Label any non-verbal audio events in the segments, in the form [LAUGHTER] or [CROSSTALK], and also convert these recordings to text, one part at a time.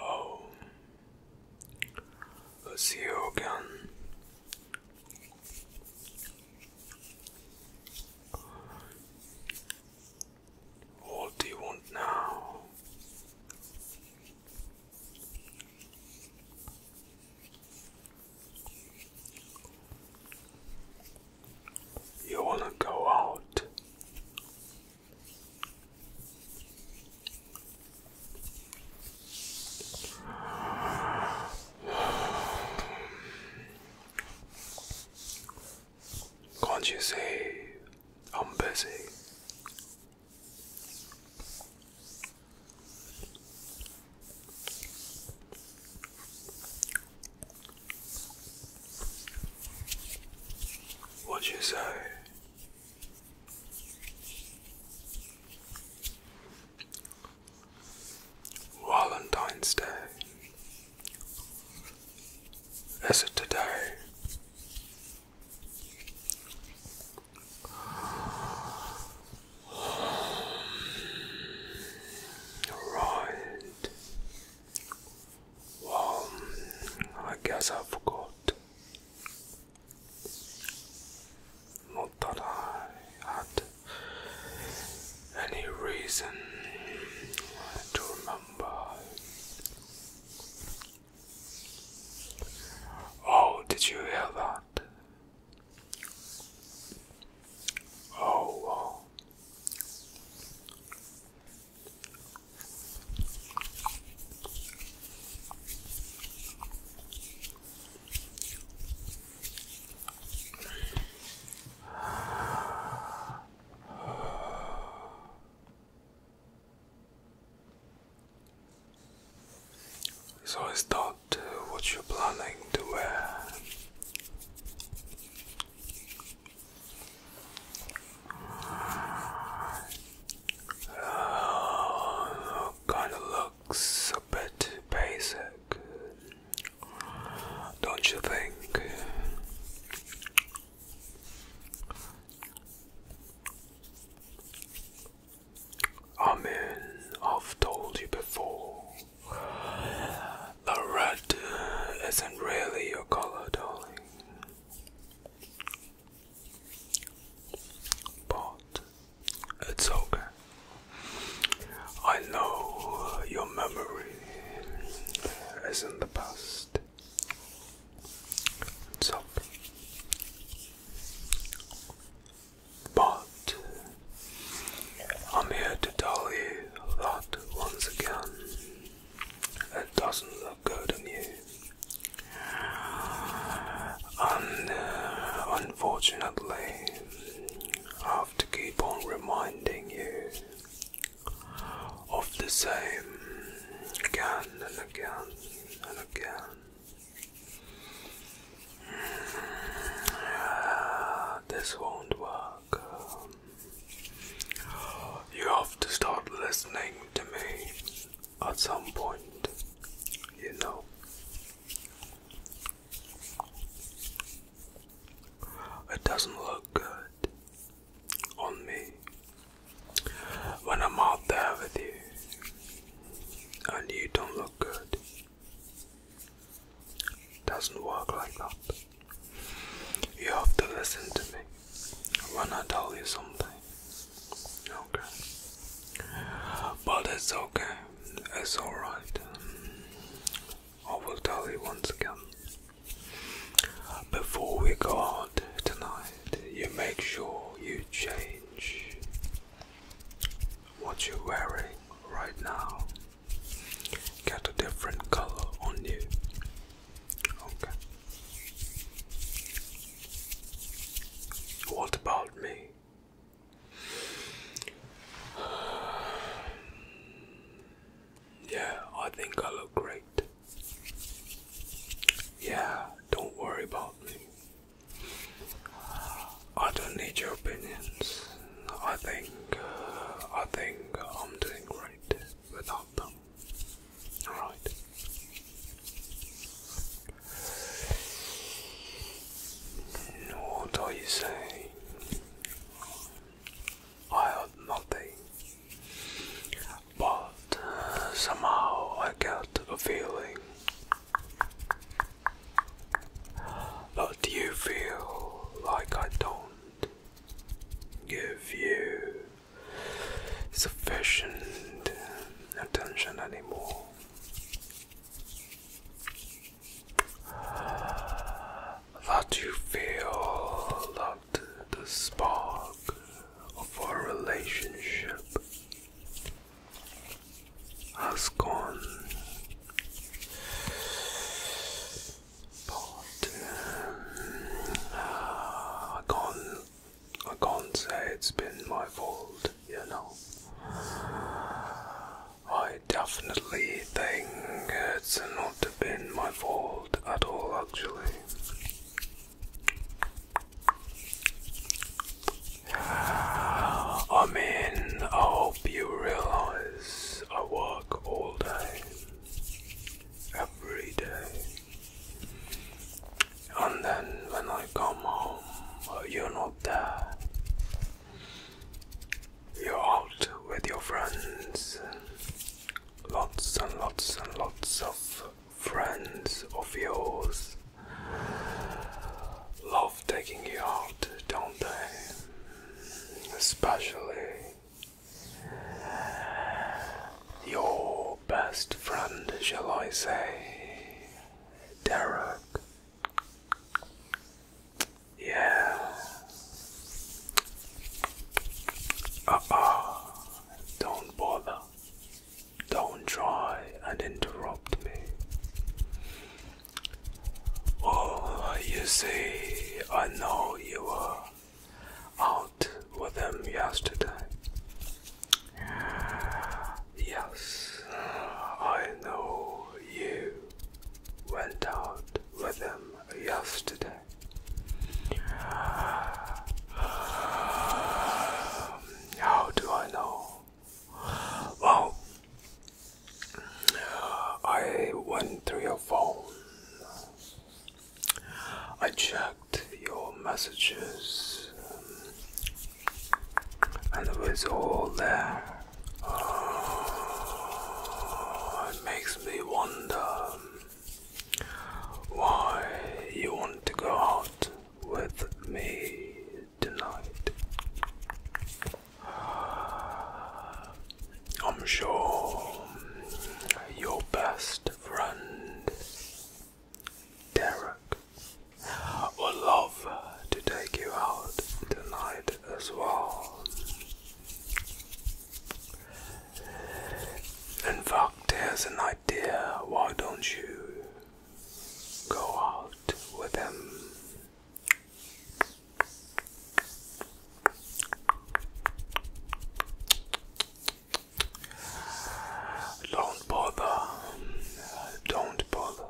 Oh, see who can what do you want now? You wanna go out? Can't you see I'm busy? What you say? Valentine's Day as it today. Right. Well, I guess I forgot. Not that I had any reason to remember. Oh, did you hear that? Oh, oh. So I start uh, what you're planning to wear. Uh, kind of looks a bit basic. Don't you think? I mean, I've told you before. The red isn't really your color, darling. But it's okay. I know your memory is in the past. But I'm here to tell you that once again it doesn't look good on you. And uh, unfortunately, I have to keep on reminding you of the same again and again and again. Ah, this won't work. you have to start listening to me at some point, you know. It doesn't look good on me when I'm out there with you and you don't look good. doesn't work like that. You have to listen to me when I tell you something. Okay. But it's okay it's alright. I will tell you once again. Before we go out tonight, you make sure you change what you're wearing right now. Get a different color on you. Okay. What about me? [SIGHS] Yeah, I think I look great. Yeah, don't worry about me. I don't need your opinions. I think I think I'm doing great without them. All right. What are you saying? I heard nothing. But uh, somehow I got a feeling that you feel like I don't give you sufficient attention anymore that you feel that the spark of our relationship has gone. But ah, I can't, I can't say it's been my fault. You know, I definitely think it's not been my fault at all, actually. I mean, I hope you realize I work all day, every day and then when I come home, uh, you're not there. You're out with your friends. Lots and lots and lots of friends of yours love taking you out, don't they? Especially your best friend, shall I say. Derek. Yeah. Uh oh. Don't bother. Don't try and interrupt me. Oh, you see, I know you were out with them yesterday. Yes, I know you went out with him yesterday. How do I know? Well, I went through your phone. I checked your messages um, and it's all there. Oh, it makes me wonder um, why you want to go out with me tonight. Uh, I'm sure your best friend Derek would love to take you out tonight as well. And fact, has an idea why don't you go out with him? Don't bother. Don't bother.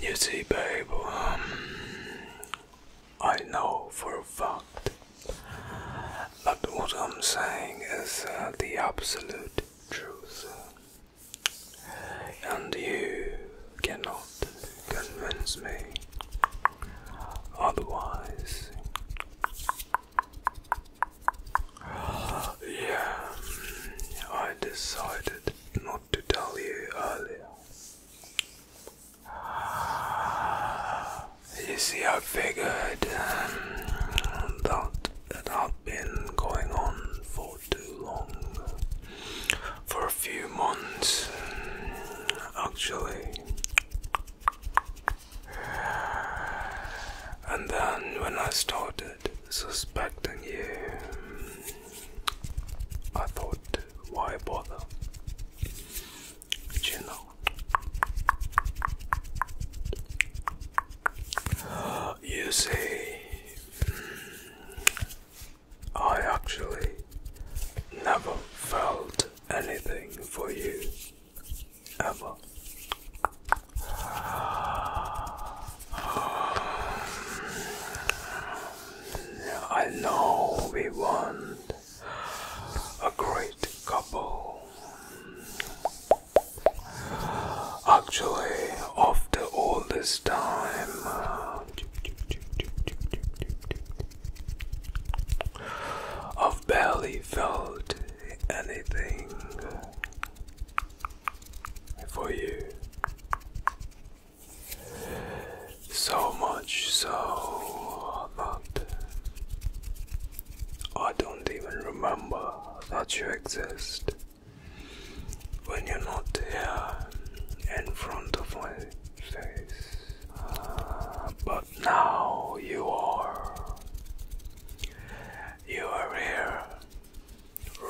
You see, babe, um, I know for a fact that what I'm saying is uh, the absolute truth, and you cannot convince me otherwise. Yeah, I decided not to tell you earlier. You see, I figured um, that that I've been going on for too long for a few months um, actually. And then when I started suspecting you, um, I thought, why bother? you know. You see, um, I actually never felt anything for you ever. I know we want a great couple. Actually, after all this time. I've barely felt anything for you. So much so that I don't even remember that you exist when you're not here in front of my face. Uh, but now you are. You are here,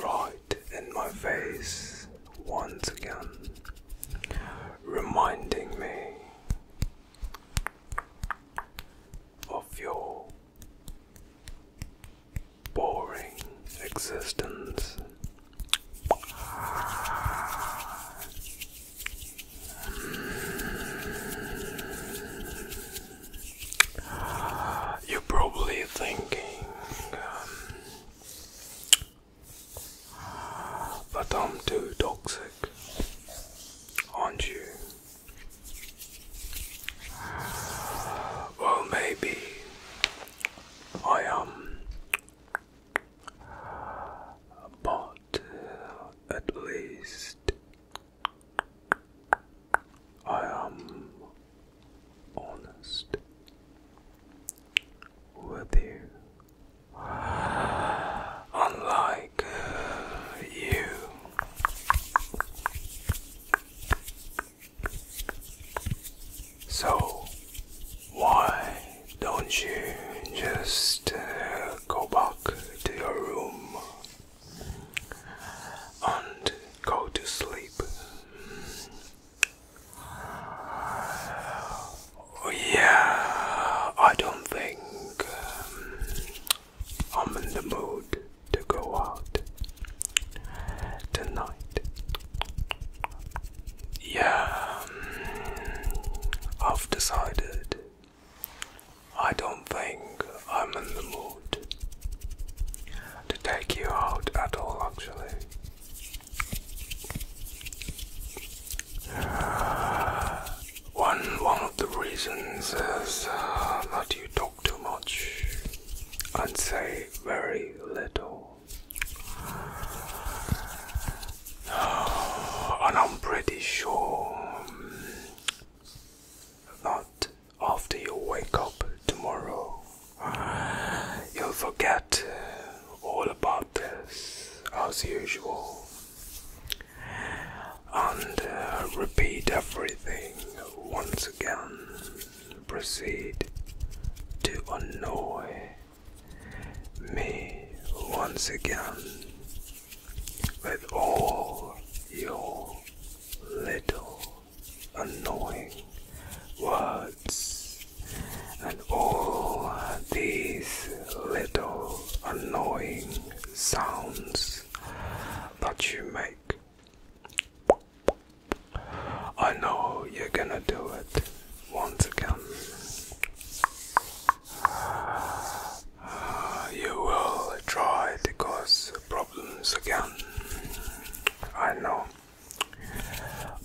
right in my face once again, reminding me of your boring existence. You're probably thinking um, but I'm too toxic, aren't you? Well, maybe I um bought uh, at least I am um, honest with you. Unlike uh, you, so, why don't you just uh, go back to your room and go to sleep? Yeah, I don't think um, I'm in the mood to go out tonight. Yeah, mm, I've decided I don't think I'm in the mood to take you out at all, actually. [SIGHS] one one of the reasons is uh, that you don't too much and say very little. [SIGHS] And I'm pretty sure that after you wake up tomorrow, you'll forget all about this as usual and uh, repeat everything once again proceed to annoy me once again with all your little annoying words and all these little annoying sounds that you make I know you're gonna do it once again. Uh, you will try to cause problems again. I know.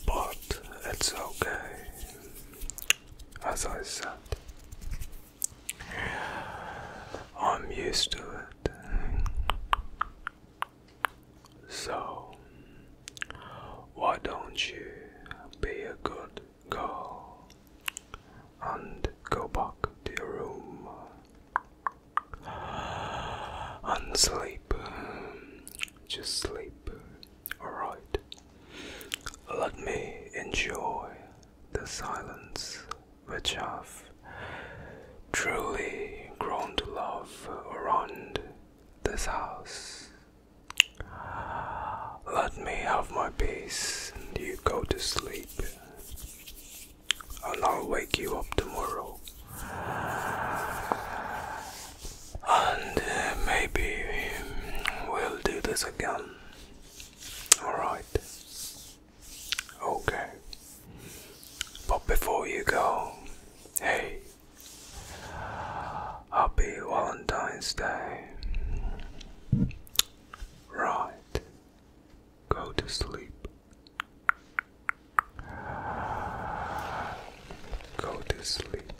But it's okay. As I said, I'm used to it. So, why don't you be a good girl and go back to your room and sleep? Just sleep, alright? Let me enjoy the silence which I've truly grown to love around this house. Let me have my peace, and you go to sleep, and I'll wake you up tomorrow. And uh, maybe we'll do this again. Alright. Okay. But before you go, hey, happy Valentine's Day. Right, go to sleep. Go to sleep.